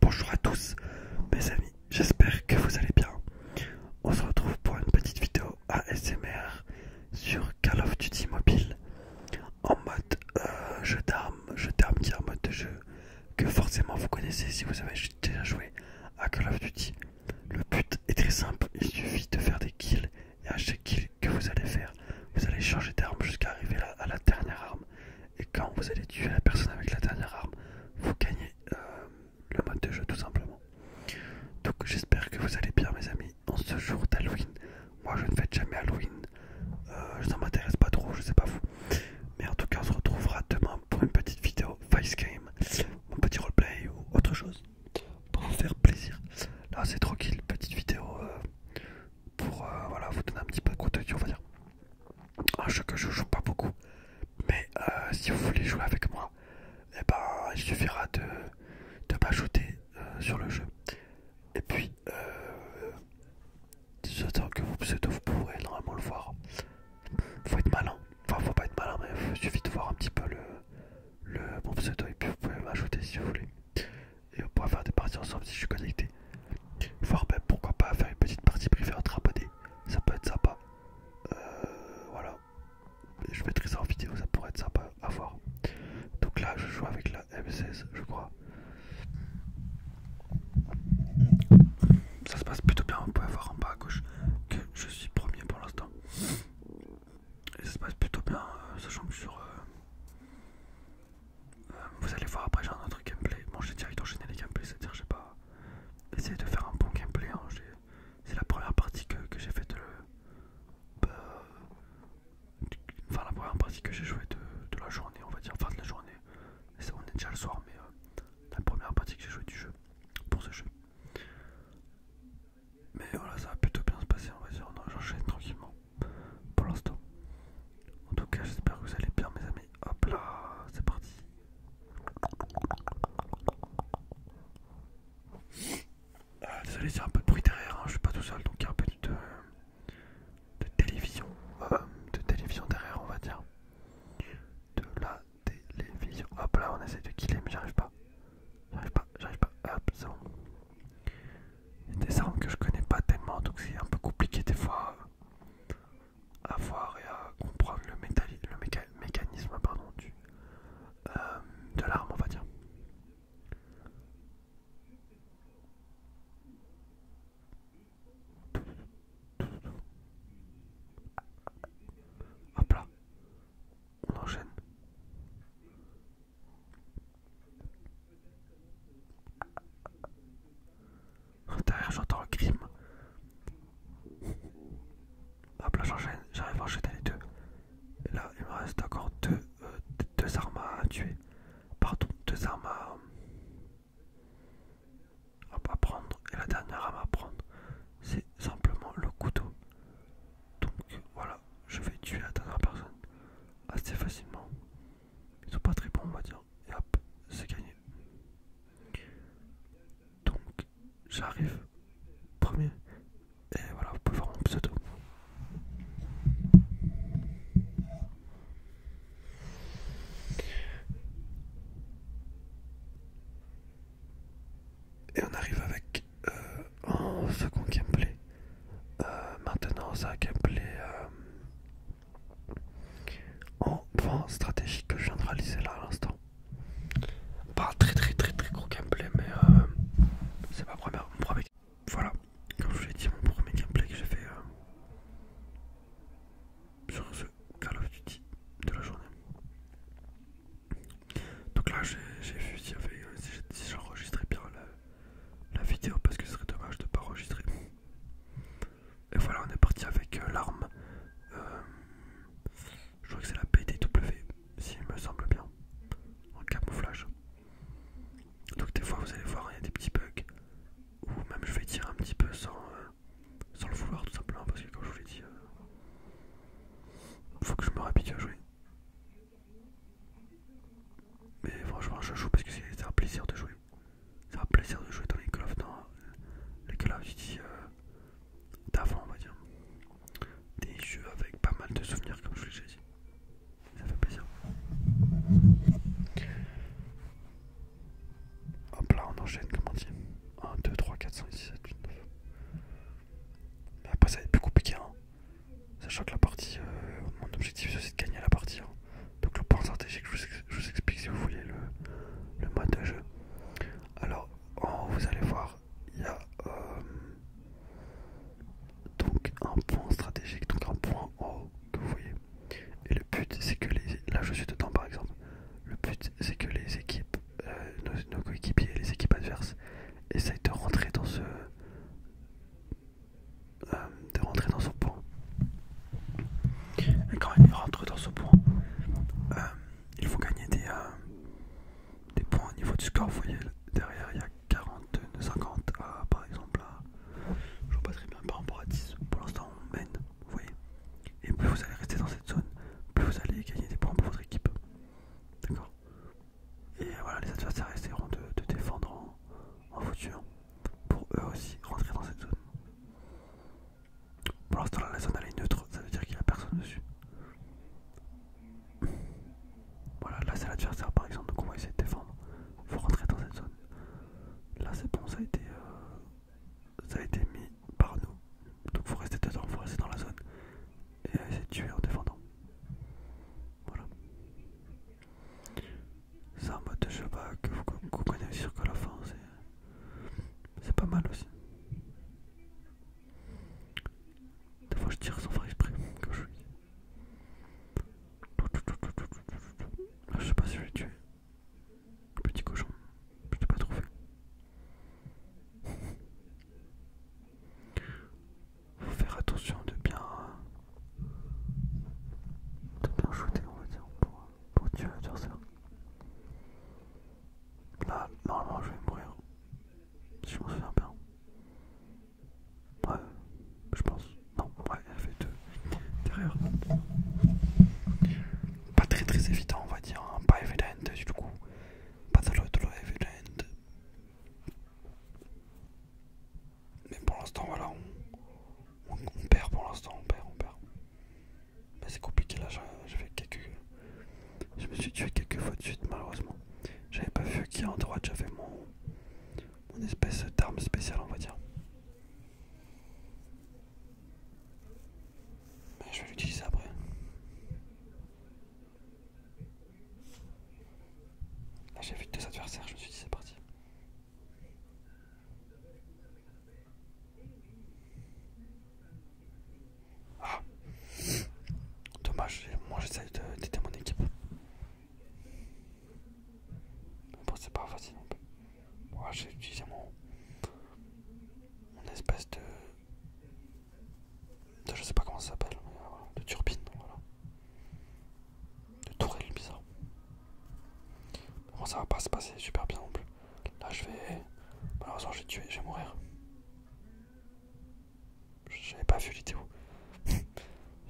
Bonjour à tous mes amis, j'espère que vous allez bien. On se retrouve pour une petite vidéo ASMR sur Call of Duty Mobile en mode euh, jeu d'armes, jeu d'armes qui est en mode de jeu que forcément vous connaissez si vous avez déjà joué à Call of Duty. Le but est très simple, il suffit de faire des kills et à chaque kill que vous allez faire, vous allez changer d'arme jusqu'à arriver à la dernière arme. Et quand vous allez tuer la personne avec la dernière arme, vous gagnez euh, le mode de jeu tout simplement. Donc j'espère que vous allez bien mes amis en ce jour d'Halloween. Moi je ne fête jamais Halloween, je euh, ne m'intéresse pas trop, je ne sais pas vous. Mais en tout cas on se retrouvera demain pour une petite vidéo face Game, un petit roleplay ou autre chose pour vous faire plaisir. Là c'est tranquille, petite vidéo euh, pour euh, voilà, vous donner un petit peu de contenu, on va dire. Un jeu que je joue pas beaucoup, mais euh, si vous voulez jouer avec moi, eh bah il suffira de, m'ajouter euh, sur le jeu. Et puis, euh, que vos pseudo, vous pourrez normalement le voir. Faut être malin, enfin, faut pas être malin, mais il suffit de voir un petit peu le, le, mon pseudo, et puis vous pouvez m'ajouter si vous voulez et on pourra faire des parties ensemble si je suis connecté. Voire même pourquoi pas faire une petite partie privée entre ça peut être sympa. Euh, voilà, je mettrai ça en vidéo, ça pourrait être sympa à voir. Donc là, je joue avec la M16, je crois. Ça se passe plutôt bien, on peut voir en bas à gauche que je suis premier pour l'instant. Et ça se passe plutôt bien, euh, sachant que sur, euh, vous allez voir après j'ai un autre gameplay. Bon j'ai direct enchaîné les gameplays, c'est-à-dire j'ai pas essayé de faire un bon gameplay. Hein. C'est la première partie que, j'ai faite de... Euh, bah, la première partie que j'ai jouée de, la journée on va dire, fin de la journée. on est déjà le soir mais euh, la première partie que j'ai jouée du jeu, pour ce jeu. Mais voilà ça va plutôt bien se passer on va dire, j'enchaîne tranquillement pour l'instant. En tout cas, j'espère que vous allez bien, mes amis. Hop là, c'est parti. il ah, désolé, c'est un peu de bruit derrière, hein. je suis pas tout seul donc il y a un peu de, télévision. Euh, de télévision derrière, on va dire. De la télévision. Hop là, on essaie de killer, mais j'arrive pas. J'arrive pas, j'arrive pas. Hop, c'est bon. Il y a des armes que je connais pas tellement, donc c'est un peu compliqué des fois à voir et à comprendre le, le mécanisme pardon, euh, de l'arme, on va dire. Hop là, on enchaîne. Derrière j'entends le crime. Hop là j'enchaîne, j'arrive à enchaîner les deux. là il me reste encore euh, deux, armes à tuer. Pardon, deux armes à prendre. Et la dernière arme à prendre, c'est simplement le couteau. Donc voilà je vais tuer la dernière personne assez facilement. Ils sont pas très bons, on va dire. Et hop, c'est gagné. Donc, j'arrive premier. Et voilà, vous pouvez voir mon pseudo. Et on arrive avec euh, en second gameplay euh, maintenant c'est un gameplay euh, en plan stratégique que je viens de réaliser là à l'instant pas très très très très gros gameplay mais c'est ma première mon premier voilà comme je vous l'ai dit mon premier gameplay que j'ai fait sur ce Call of Duty de la journée donc là, j'ai vu euh, si, j'enregistrais bien la, vidéo parce que ce serait dommage de ne pas enregistrer. Et voilà, on est parti avec euh, l'arme. Euh, je crois que c'est la PDW, s'il me semble bien, en camouflage. Donc, des fois, vous allez voir, il y a des petits bugs. Ou même, je vais tirer un petit peu sans, sans le vouloir, tout simplement, parce que, comme je vous l'ai dit, faut que je me réhabitue à jouer. Mais franchement, je joue parce que c'est un plaisir de jouer. C'est un plaisir de jouer dans les Call of, dans Duty euh, d'avant, on va dire. Des jeux avec pas mal de souvenirs, comme je vous l'ai dit. Ça fait plaisir. Hop là, on enchaîne, comment on dit 1, 2, 3, 4, 5, 6, 7, 8, 9. Mais après ça va être plus compliqué. Hein. Sachant que la partie, euh, mon objectif c'est de gagner la partie. Hein. Donc le point stratégique, je vous, explique si vous voulez le, mode de jeu. Alors vous allez voir, il y a euh, donc un point stratégique, donc un point en haut que vous voyez. Et le but c'est que les... Là je suis dedans par exemple. Le but c'est que les équipes euh, nos, coéquipiers les équipes adverses essayent de rentrer dans ce euh, de rentrer dans son point quand ils rentrent dans ce point euh, il faut gagner des, des points au niveau du score vous voyez derrière il y a 40 50 ah, par exemple je je vois pas très bien par rapport à 10 pour l'instant on mène vous voyez et plus vous allez rester dans cette zone plus vous allez gagner des points pour votre équipe D'accord Et voilà, les adversaires essaieront de, défendre en, voiture hein. pour eux aussi rentrer dans cette zone. Pour l'instant, la zone elle est neutre, ça veut dire qu'il n'y a personne dessus. Voilà, là c'est l'adversaire par exemple, donc on va essayer de défendre. Faut rentrer dans cette zone. Là c'est bon, ça a été. Euh, ça a été mis par nous. Donc vous restez dedans, faut dans la zone. Et essayez de tuer en défendant. Voilà. C'est un mode de jeu bah, que vous comprenez aussi sur la fin c'est pas mal aussi. Des fois je tire sans faire exprès, que je Je sais pas si je vais tué. Petit cochon, je peux pas fait. Faut faire attention de bien, de bien shooter, on va dire, pour, tuer l'adversaire. Là, normalement, je vais mourir. Si je m'en souviens bien. Ouais, je pense. Non, ouais, elle fait deux derrière. Pas très très évident, on va dire. Hein. Pas évident du coup pas de l'autre mais pour l'instant voilà on, perd pour l'instant on perd on perd bah, c'est compliqué là je quelques je me suis tué quelques fois de suite malheureusement j'avais pas vu qui en droite j'avais mon mon espèce d'arme spéciale on va dire mais bah, je vais l'utiliser après. Là j'ai vu deux adversaires, je me suis dit c'est parti. Ah Dommage, moi j'essaye d'aider mon équipe. Bon c'est pas facile j'ai utilisé mon, espèce de, Je sais pas comment ça s'appelle, euh, de turbine, De tourelle bizarre. Bon, ça va pas se passer super bien non plus. Là, je vais. Malheureusement, je vais tuer, je vais mourir. J'avais pas vu l'idée où.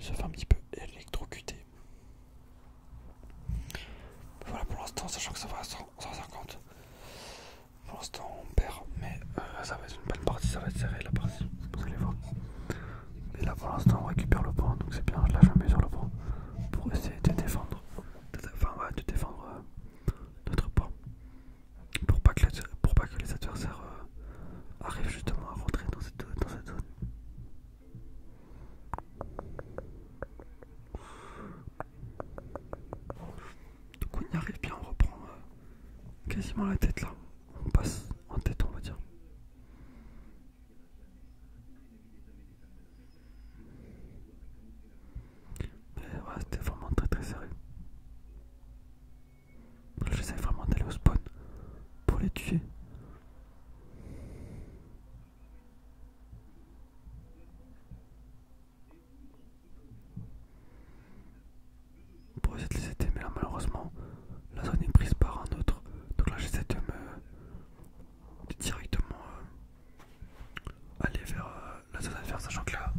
je fais un petit peu électrocuté. Voilà pour l'instant, sachant que ça va à 150. Pour l'instant, on perd, mais euh, ça va être une bonne partie, ça va être serré la partie. Vous allez voir. Et là, pour l'instant, on récupère le pont, donc c'est bien. Là, je me mets sur le pont pour essayer de défendre, de défendre euh, notre pont pour pas que les, adversaires euh, arrivent justement à rentrer dans cette zone. Donc on y arrive bien, on reprend euh, quasiment la tête là. On passe en tête on va dire. Mais ouais c'était vraiment très très serré. J'essaie vraiment d'aller au spawn pour les tuer. On pourrait essayer de les aider, mais là malheureusement la zone est prise par un autre. Donc là j'essaie de me directement euh, aller vers euh, la zone faire. sachant que là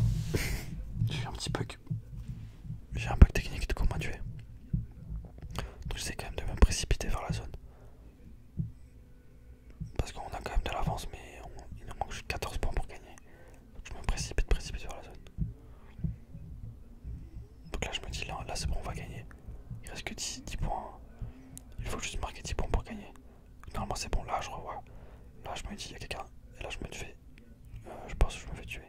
j'ai un petit bug. J'ai un bug technique de comment tuer. Donc c'est quand même de me précipiter vers la zone. Parce qu'on a quand même de l'avance, mais il nous manque 14 points pour gagner. je me précipite, précipite vers la zone. Donc là je me dis, là, là c'est bon, on va gagner. Il reste que 10, points. Il faut juste marquer 10 points pour gagner. Normalement c'est bon, là je revois. Là je me dis, il y a quelqu'un. Et là je me fais... Euh, je pense que je me fais tuer.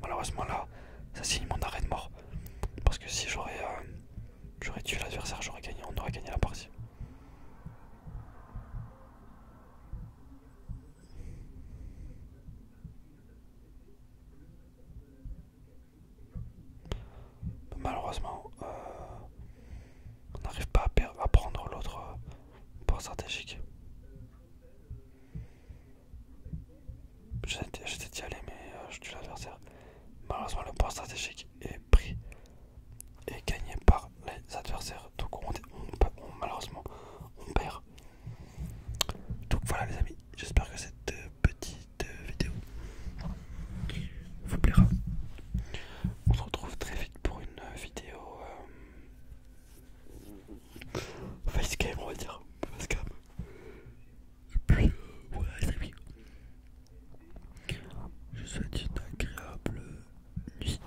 Malheureusement là, ça signe mon arrêt de mort. Parce que si j'aurais euh, tué l'adversaire, j'aurais gagné, on aurait gagné la partie. Malheureusement, euh, on n'arrive pas à, prendre l'autre euh, port stratégique j'essaie d'y aller, mais euh, je tue l'adversaire. Malheureusement, le point stratégique est pris et gagné par les adversaires. Donc, malheureusement, on perd. Donc, voilà, les amis. J'espère que cette euh, petite euh, vidéo vous plaira. On se retrouve très vite pour une vidéo facecam on va dire facecam et puis voilà les amis je vous souhaite une agréable nuit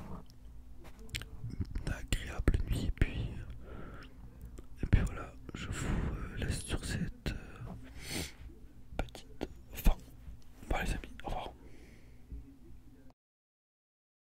une agréable nuit et puis euh, et puis voilà je vous euh, laisse sur cette euh, petite fin voilà les amis au revoir